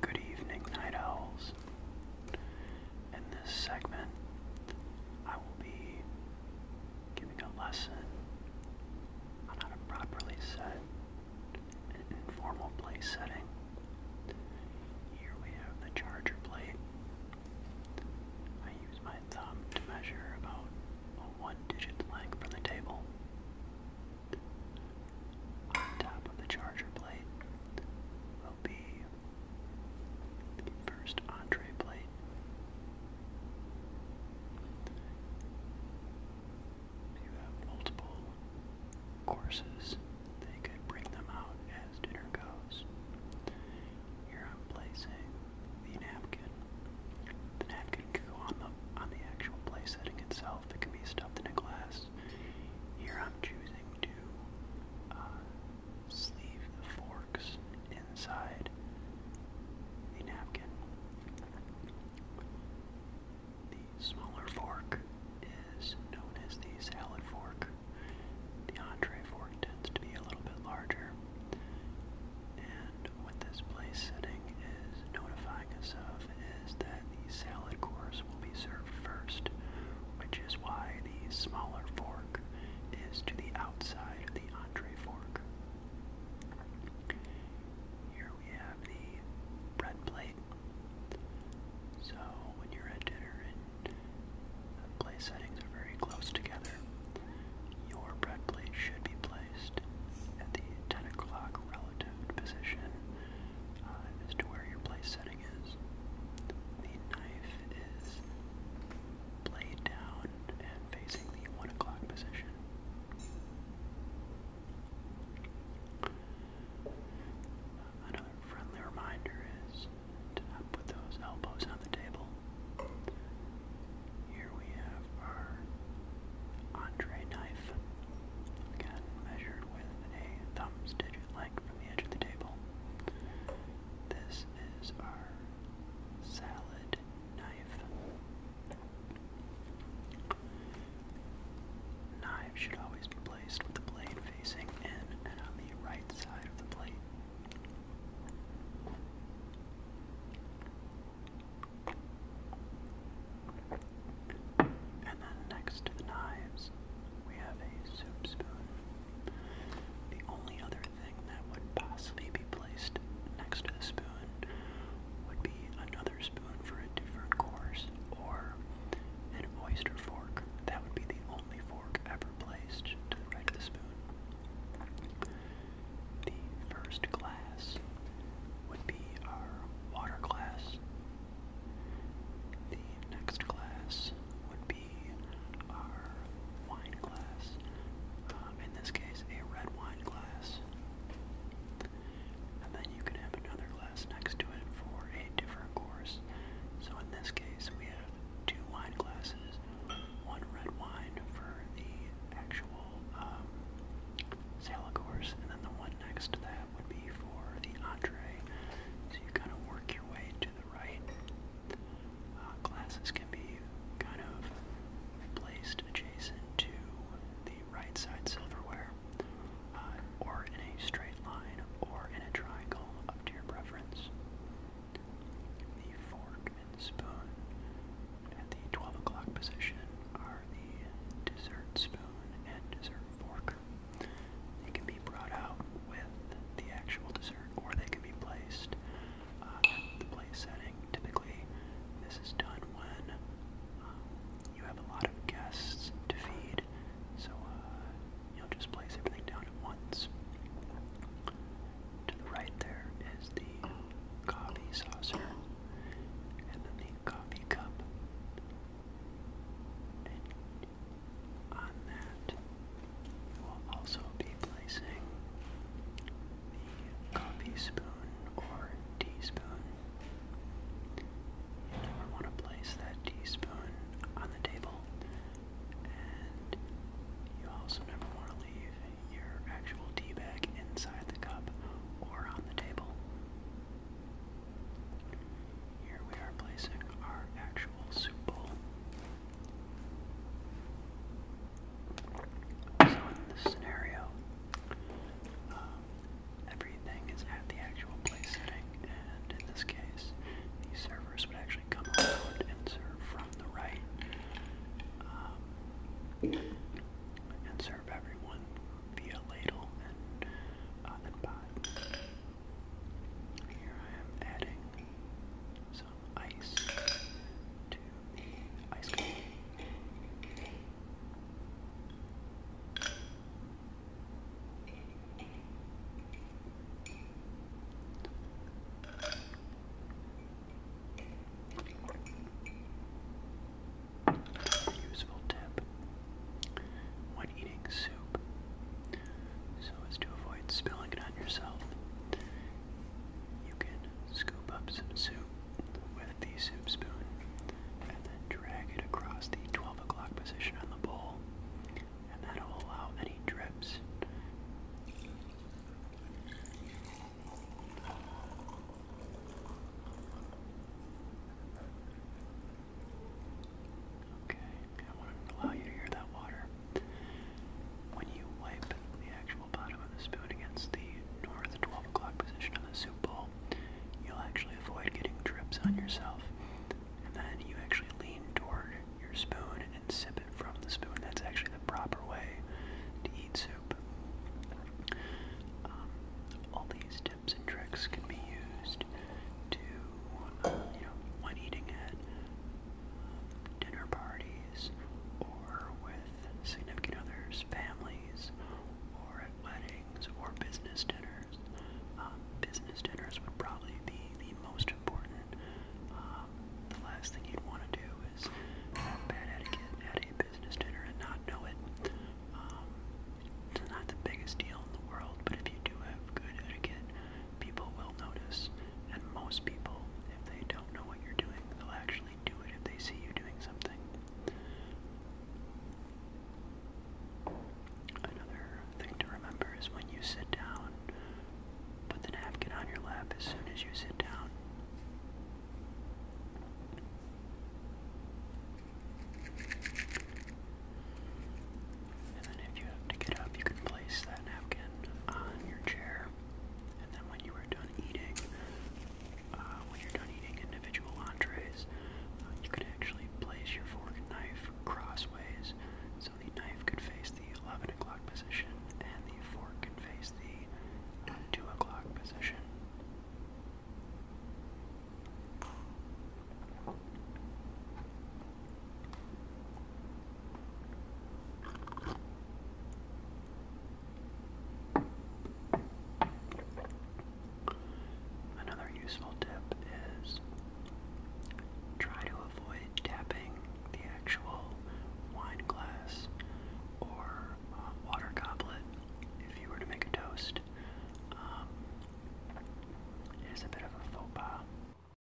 Good evening, night owls. In this segment, I will be giving a lesson on how to properly set an informal place setting. Here we have the charger plate. I use my thumb to measure about a one digit length from the table on top of the charger plate will be the first entree plate. You have multiple courses. They could bring them out as dinner goes. Here I'm placing the napkin. The napkin can go on the on the actual play setting itself. It can be stuffed in a glass. Here I'm choosing to uh, sleeve the forks inside the napkin. The smaller fork is known as the salad fork. The entree fork tends to be a little bit larger. And what this place setting is notifying us of is that the salad course will be served first, which is why the smaller fork is to the outside of the entree fork. Here we have the bread plate. So when you're at dinner and the place settings are very close together, your bread plate should be placed at the 10 o'clock relative position uh, as to where your place setting is. The knife is blade down and facing the 1 o'clock position. Another friendly reminder is Put those elbows on the table. Here we have our entree knife. Again, measured with a thumb's digit length from the edge of the table. This is our salad knife. Knives should always be placed with the blade facing in and on the right side of the plate. And next to the knives, we have a soup spoon. The only other thing that would possibly be placed next to the spoon would be another spoon for a different course or an oyster fork. That would be the only fork ever placed the spoon. The first glass would be our water glass. The next glass would be our wine glass. Uh, in this case, a red wine glass. And then you can have another glass next to it for a different course. So in this case, we have two wine glasses, one red wine for the actual um, sale, of course, and then the one next to that would be for the entree. So you kind of work your way to the right. Uh, glasses can be kind of placed adjacent to the right side silverware. Uh, or in a straight line, or in a triangle, up to your preference. The fork and spoon at the 12 o'clock position are the dessert spoon and dessert fork. They can be brought out with the actual dessert, or they can be placed uh, at the place setting. Typically, this is done when um, you have a lot of guests to feed, so uh, you will just place everything down at once. To the right there is the coffee saucer and then the coffee cup. And on that, we'll also be placing the coffee spoon or teaspoon. And we want to place that teaspoon on the table. And you also never want to leave your actual tea bag inside the cup or on the table. Here we are placing our actual soup bowl. So in this scenario, um, everything is at the actual play setting, and in this case, these servers would actually come around and serve from the right, um, and serve everyone via ladle and, uh, and Here I am adding some ice to the ice cream. Useful tip when eating soup so as to avoid spilling it on yourself. You can scoop up some soup with the soup spoon, and then drag it across the 12 o'clock position on the bowl, and that will allow any drips. Okay, I want to allow you to hear that water. When you wipe the actual bottom of the spoon against the north 12 o'clock position of the soup bowl, you'll actually avoid getting drips on yourself. And then you actually lean toward your spoon and sip it from the spoon. That's actually the proper way to eat soup. Um, all these tips and tricks can be used to, uh, you know, when eating at um, dinner parties buddies or with significant others, families, or at weddings or business dinners. Um, business dinners would probably be the most important. Um, the last thing you'd want to do is have bad etiquette at a business dinner and not know it. Um, it's not the biggest deal in the world, but if you do have good etiquette, people will notice. And most people, if they don't know what you're doing, they'll actually do it if they see you doing something. Another thing to remember is when you sit down, put the napkin on your lap as soon as you sit down. And then if you have to get up, you can place that napkin on your chair. And then when you are done eating, uh, when you're done eating individual entrees, uh, you could actually place your fork and knife crossways, so the knife could face the 11 o'clock position, and the fork could face the 2 o'clock position. Another useful tip is try to avoid tapping the actual wine glass or uh, water goblet if you were to make a toast. Um, it is a bit of a faux pas.